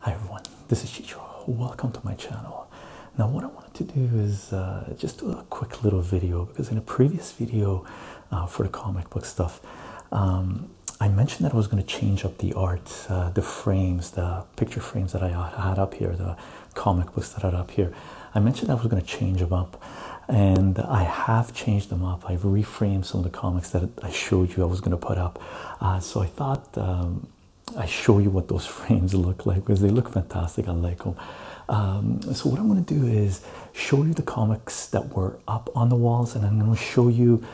Hi everyone, this is Chicho. Welcome to my channel. Now what I wanted to do is uh, just do a quick little video because in a previous video uh, for the comic book stuff, um, I mentioned that I was going to change up the art, uh, the frames, the picture frames that I had up here, the comic books that I had up here. I mentioned I was going to change them up and I have changed them up. I've reframed some of the comics that I showed you I was going to put up. Uh, so I thought um, I show you what those frames look like because they look fantastic. I like them. Um, so what I'm going to do is show you the comics that were up on the walls, and I'm going to show you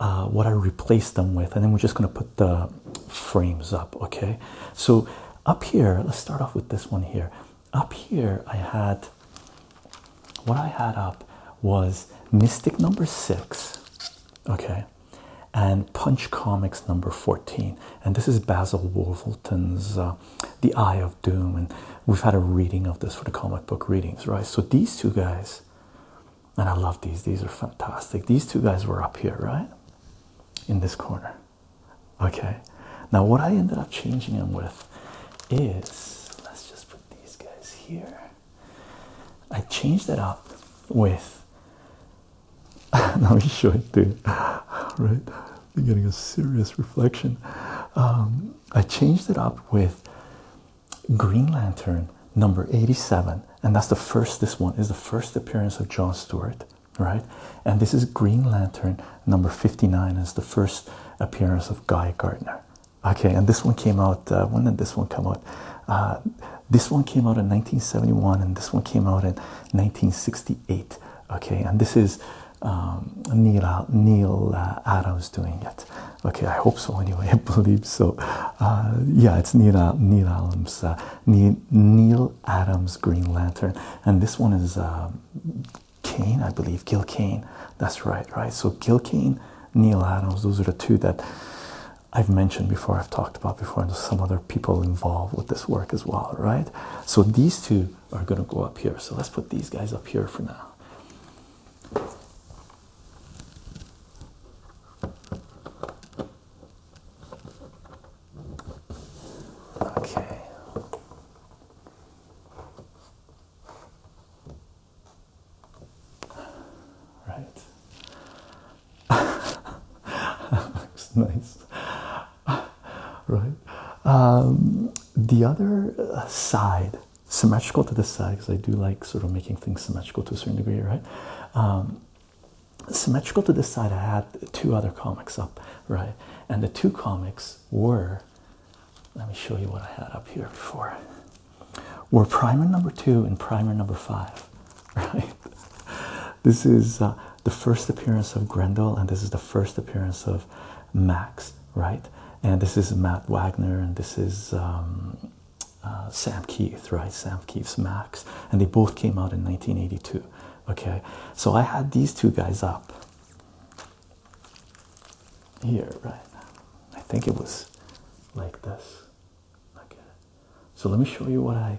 uh, what I replaced them with, and then we're just going to put the frames up. Okay. So up here, let's start off with this one here up here I had what I had up was Mystic number six, okay, and Punch Comics number 14. And this is Basil Wolverton's uh, The Eye of Doom. And we've had a reading of this for the comic book readings, right? So these two guys, and I love these, these are fantastic. These two guys were up here, right? In this corner. Okay, now what I ended up changing him with is let's just put these guys here. I changed it up with let me show it to you. Right, I'm getting a serious reflection. Um, I changed it up with Green Lantern number 87, and that's the first. This one is the first appearance of John Stewart, right? And this is Green Lantern number 59, as the first appearance of Guy Gardner. Okay, and this one came out. Uh, when did this one come out? Uh, this one came out in 1971, and this one came out in 1968. Okay, and this is um, Neil Neil uh, Adams doing it. Okay, I hope so. Anyway, I believe so. Uh, yeah, it's Neil Neil Adams Neil, Adams Green Lantern, and this one is um, Kane, I believe, Gil Kane. That's right, right? So Gil Kane, Neil Adams, those are the two that I've mentioned before, I've talked about before, and there's some other people involved with this work as well, right? So these two are going to go up here. So let's put these guys up here for now. Okay. Right. looks nice. right. Um, the other uh, side, symmetrical to this side, because I do like sort of making things symmetrical to a certain degree, right? Um, symmetrical to this side, I had two other comics up, right? And the two comics were let me show you what I had up here before. We're primer number two and primer number five, right? This is uh, the first appearance of Grendel, and this is the first appearance of Max, right? And this is Matt Wagner, and this is um, uh, Sam Keith, right? Sam Keith's Max, and they both came out in 1982. Okay, so I had these two guys up here, right? now, I think it was like this. Okay, so let me show you what I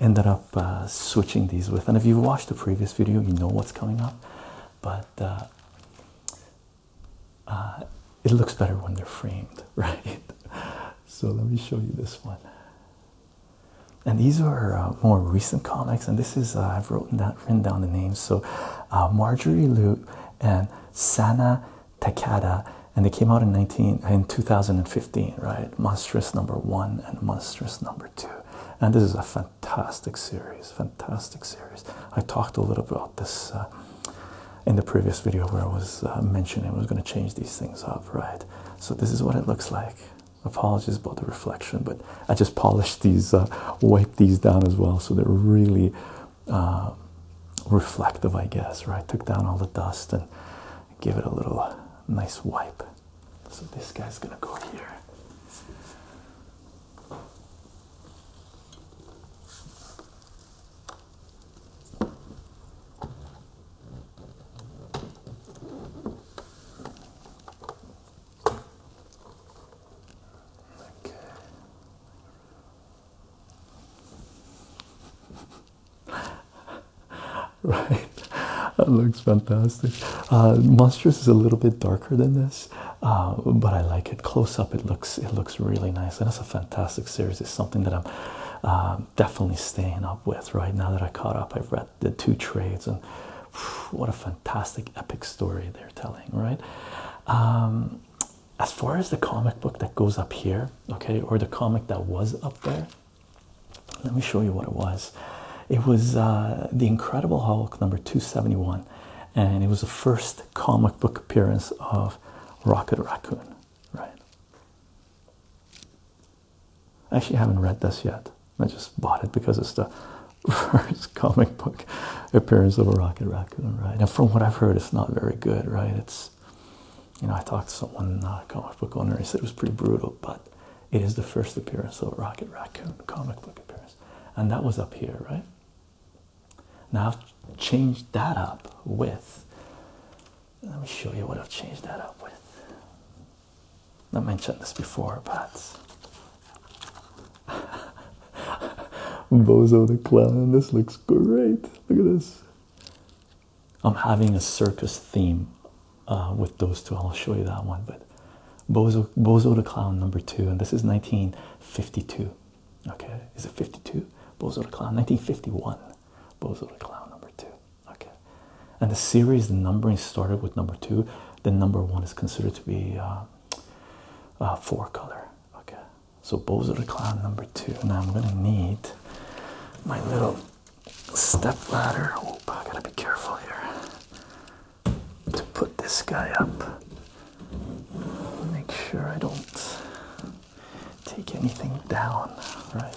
ended up uh, switching these with. And if you've watched the previous video, you know what's coming up, but uh, uh, it looks better when they're framed, right? So let me show you this one and these are uh, more recent comics. And this is uh, I've written down the names. So uh, Marjorie Lute and Sana Takada, and they came out in two thousand and fifteen, right? Monstrous number one and Monstrous number two. And this is a fantastic series. Fantastic series. I talked a little about this in the previous video where I was mentioning I was going to change these things up, right? So this is what it looks like apologies about the reflection but i just polished these uh, wiped these down as well so they're really uh, reflective i guess right took down all the dust and give it a little uh, nice wipe so this guy's gonna go here Okay. right, that looks fantastic. Uh, is a little bit darker than this, uh, but I like it close up. It looks it looks really nice, and it's a fantastic series. It's something that I'm uh, definitely staying up with right now that I caught up. I've read the two trades and what a fantastic epic story they're telling right um, as far as the comic book that goes up here okay or the comic that was up there let me show you what it was it was uh, the incredible hulk number 271 and it was the first comic book appearance of rocket raccoon right actually I haven't read this yet I just bought it because it's the first comic book appearance of a Rocket Raccoon, right? And from what I've heard, it's not very good, right? It's, you know, I talked to someone, uh, comic book owner, he said it was pretty brutal, but it is the first appearance of a Rocket Raccoon comic book appearance. And that was up here, right? Now I've changed that up with, let me show you what I've changed that up with. I mentioned this before, but Bozo the Clown, this looks great. Look at this. I'm having a circus theme uh, with those two. I'll show you that one, but Bozo Bozo the Clown number two, and this is 1952. Okay, is it 52? Bozo the Clown, 1951. Bozo the Clown number two. Okay, and the series, the numbering started with number two, then number one is considered to be uh, uh four color. Okay, so bows the clown number two. Now I'm gonna need my little step ladder. Oh, I gotta be careful here to put this guy up. Make sure I don't take anything down, right?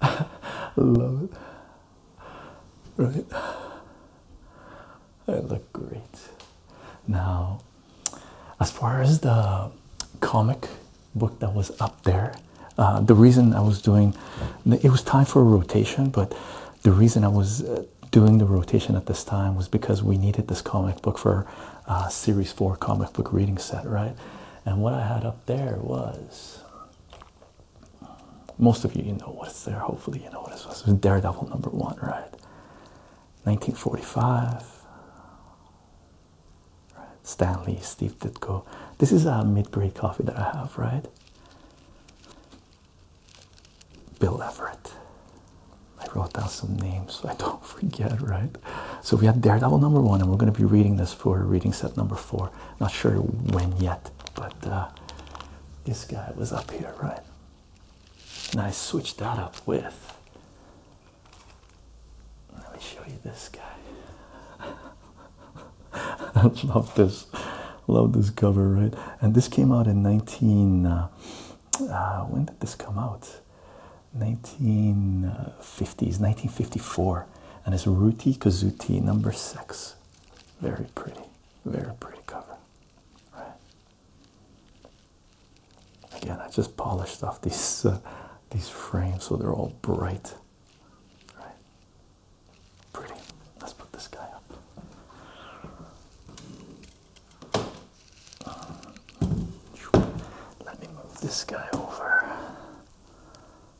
Love it. Right? They look great. Now, as far as the comic book that was up there, uh, the reason I was doing it was time for a rotation, but the reason I was uh, doing the rotation at this time was because we needed this comic book for uh, series four comic book reading set, right? And what I had up there was most of you, you know what's there. Hopefully, you know what it was. Daredevil number one, right? 1945. Right. Stanley, Steve Ditko. This is a mid grade coffee that I have, right? Bill Everett. I wrote down some names so I don't forget, right? So we had Daredevil number one, and we're going to be reading this for reading set number not sure when yet, but uh, this guy was up here, right? And I switched that up with. Let me show you this guy. I love this. Love this cover, right? And this came out in 19. Uh, uh, when did this come out? 1950s, 1954 and it's Ruti Kazuti number six. Very pretty, very pretty cover. Right. Again, I just polished off these uh, these frames so they're all bright. Right. Pretty. Let's put this guy up. Let me move this guy over.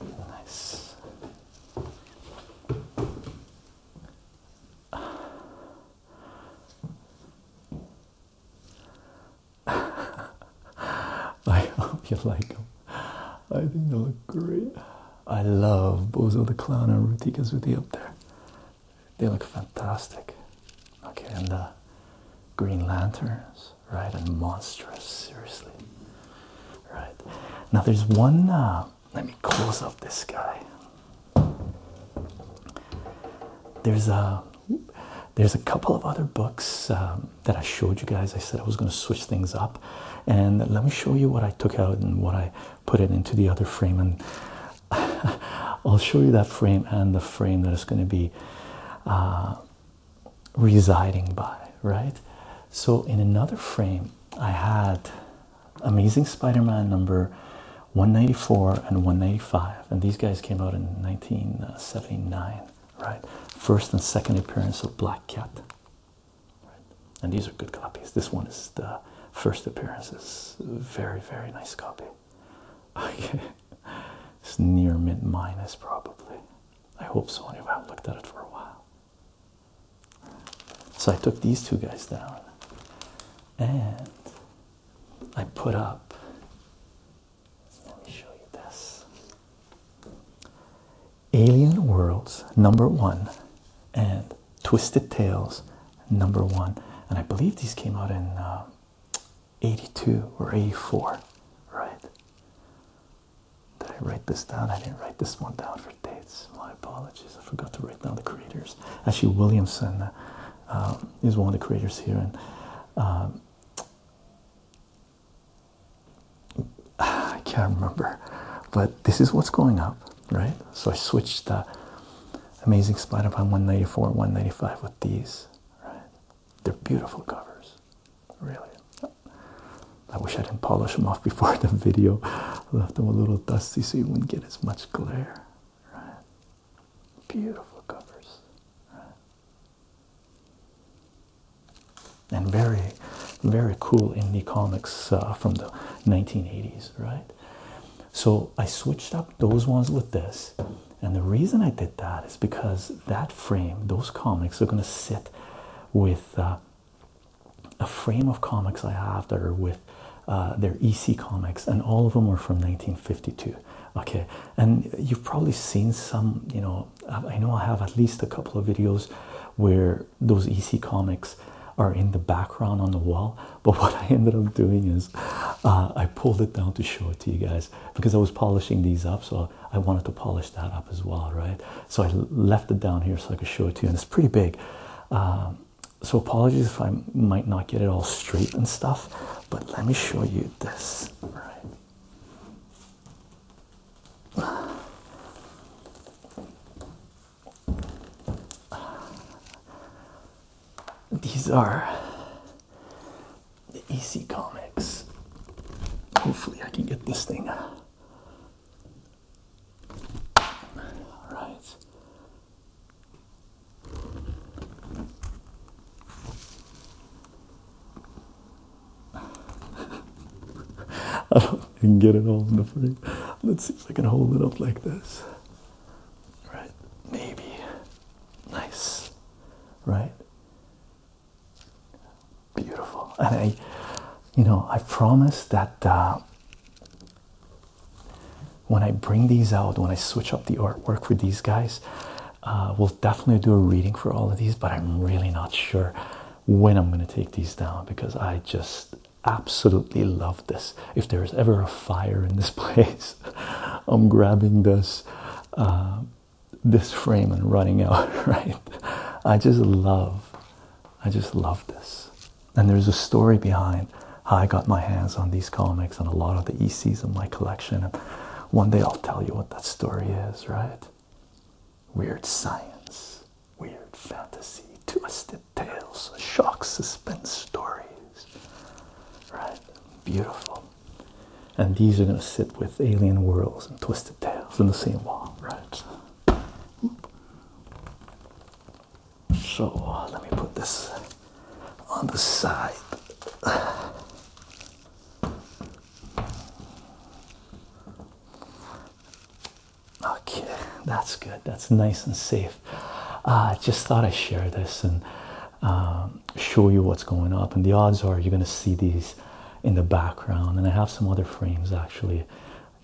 Nice. I hope you like them. I think they look great. I love Bozo the Clown and Rutika Zuti up there. They look fantastic. Okay, and the Green Lanterns right? And monstrous, seriously. Right now, there's one. Uh, let me close up this guy. There's a there's a couple of other books um, that I showed you guys. I said I was going to switch things up, and let me show you what I took out and what I put it into the other frame, and I'll show you that frame and the frame that is going to be. Uh, residing by, right? So, in another frame, I had Amazing Spider Man number 194 and 195, and these guys came out in 1979, right? First and second appearance of Black Cat. Right? And these are good copies. This one is the first appearances. Very, very nice copy. Okay. It's near mint minus, probably. I hope so. Anyway, I looked at it for a while. So I took these two guys down and I put up. Let me show you this Alien Worlds number one and Twisted Tales number one. And I believe these came out in uh, 82 or 84, right? Did I write this down? I didn't write this one down for dates. My apologies. I forgot to write down the creators. Actually, Williamson um, is one of the creators here, and um, I can't remember. But this is what's going up, right? So I switched the Amazing Spider-Man 194 and 195 with these. Right? They're beautiful covers really. I wish I didn't polish them off before the video. Left them a little dusty so you wouldn't get as much glare. Right. Beautiful covers. Right. And very, very cool indie comics uh, from the 1980s, right? So I switched up those ones with this. And the reason I did that is because that frame, those comics are going to sit with uh, a frame of comics I have that are with uh, their EC comics, and all of them were from 1952. Okay, and you've probably seen some, you know, uh, I know I have at least a couple of videos where those EC comics are in the background on the wall. But what I ended up doing is I pulled it down to show it to you guys because I was polishing these up, so I wanted to polish that up as well, right? So I left it down here so I could show it to you, and it's pretty big. Um, so apologies if I might not get it all straight and stuff, but let me show you this, right? These are the EC Comics Hopefully, I can get this thing. All right. I don't can get it all in the frame. Let's see if I can hold it up like this. Right, maybe. Nice. Right. Beautiful. And I, you know, I promise that uh, when I bring these out, when I switch up the artwork for these guys, uh, we'll definitely do a reading for all of these, but I'm really not sure when I'm going to take these down because I just absolutely love this. If there's ever a fire in this place, I'm grabbing this. Uh, this frame and running out, right? I just love, I just love this. And there's a story behind how I got my hands on these comics and a lot of the ECs in my collection. And one day I'll tell you what that story is, right? Weird science, weird fantasy, twisted tales, shock, suspense stories, right? Beautiful and these are going to sit with Alien Worlds and Twisted tails in the same wall, right? So let me put this on the side. Okay, that's good. That's nice and safe. Uh, I just thought I'd share this and um, show you what's going up. And the odds are you're going to see these in the background and i have some other frames actually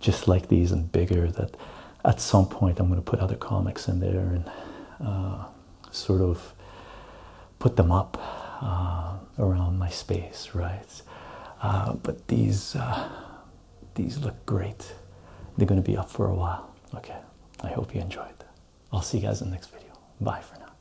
just like these and bigger that at some point i'm going to put other comics in there and uh, sort of put them up uh, around my space right uh, but these these look great they're going to be up for a while okay i hope you enjoyed i'll see you guys in the next video bye for now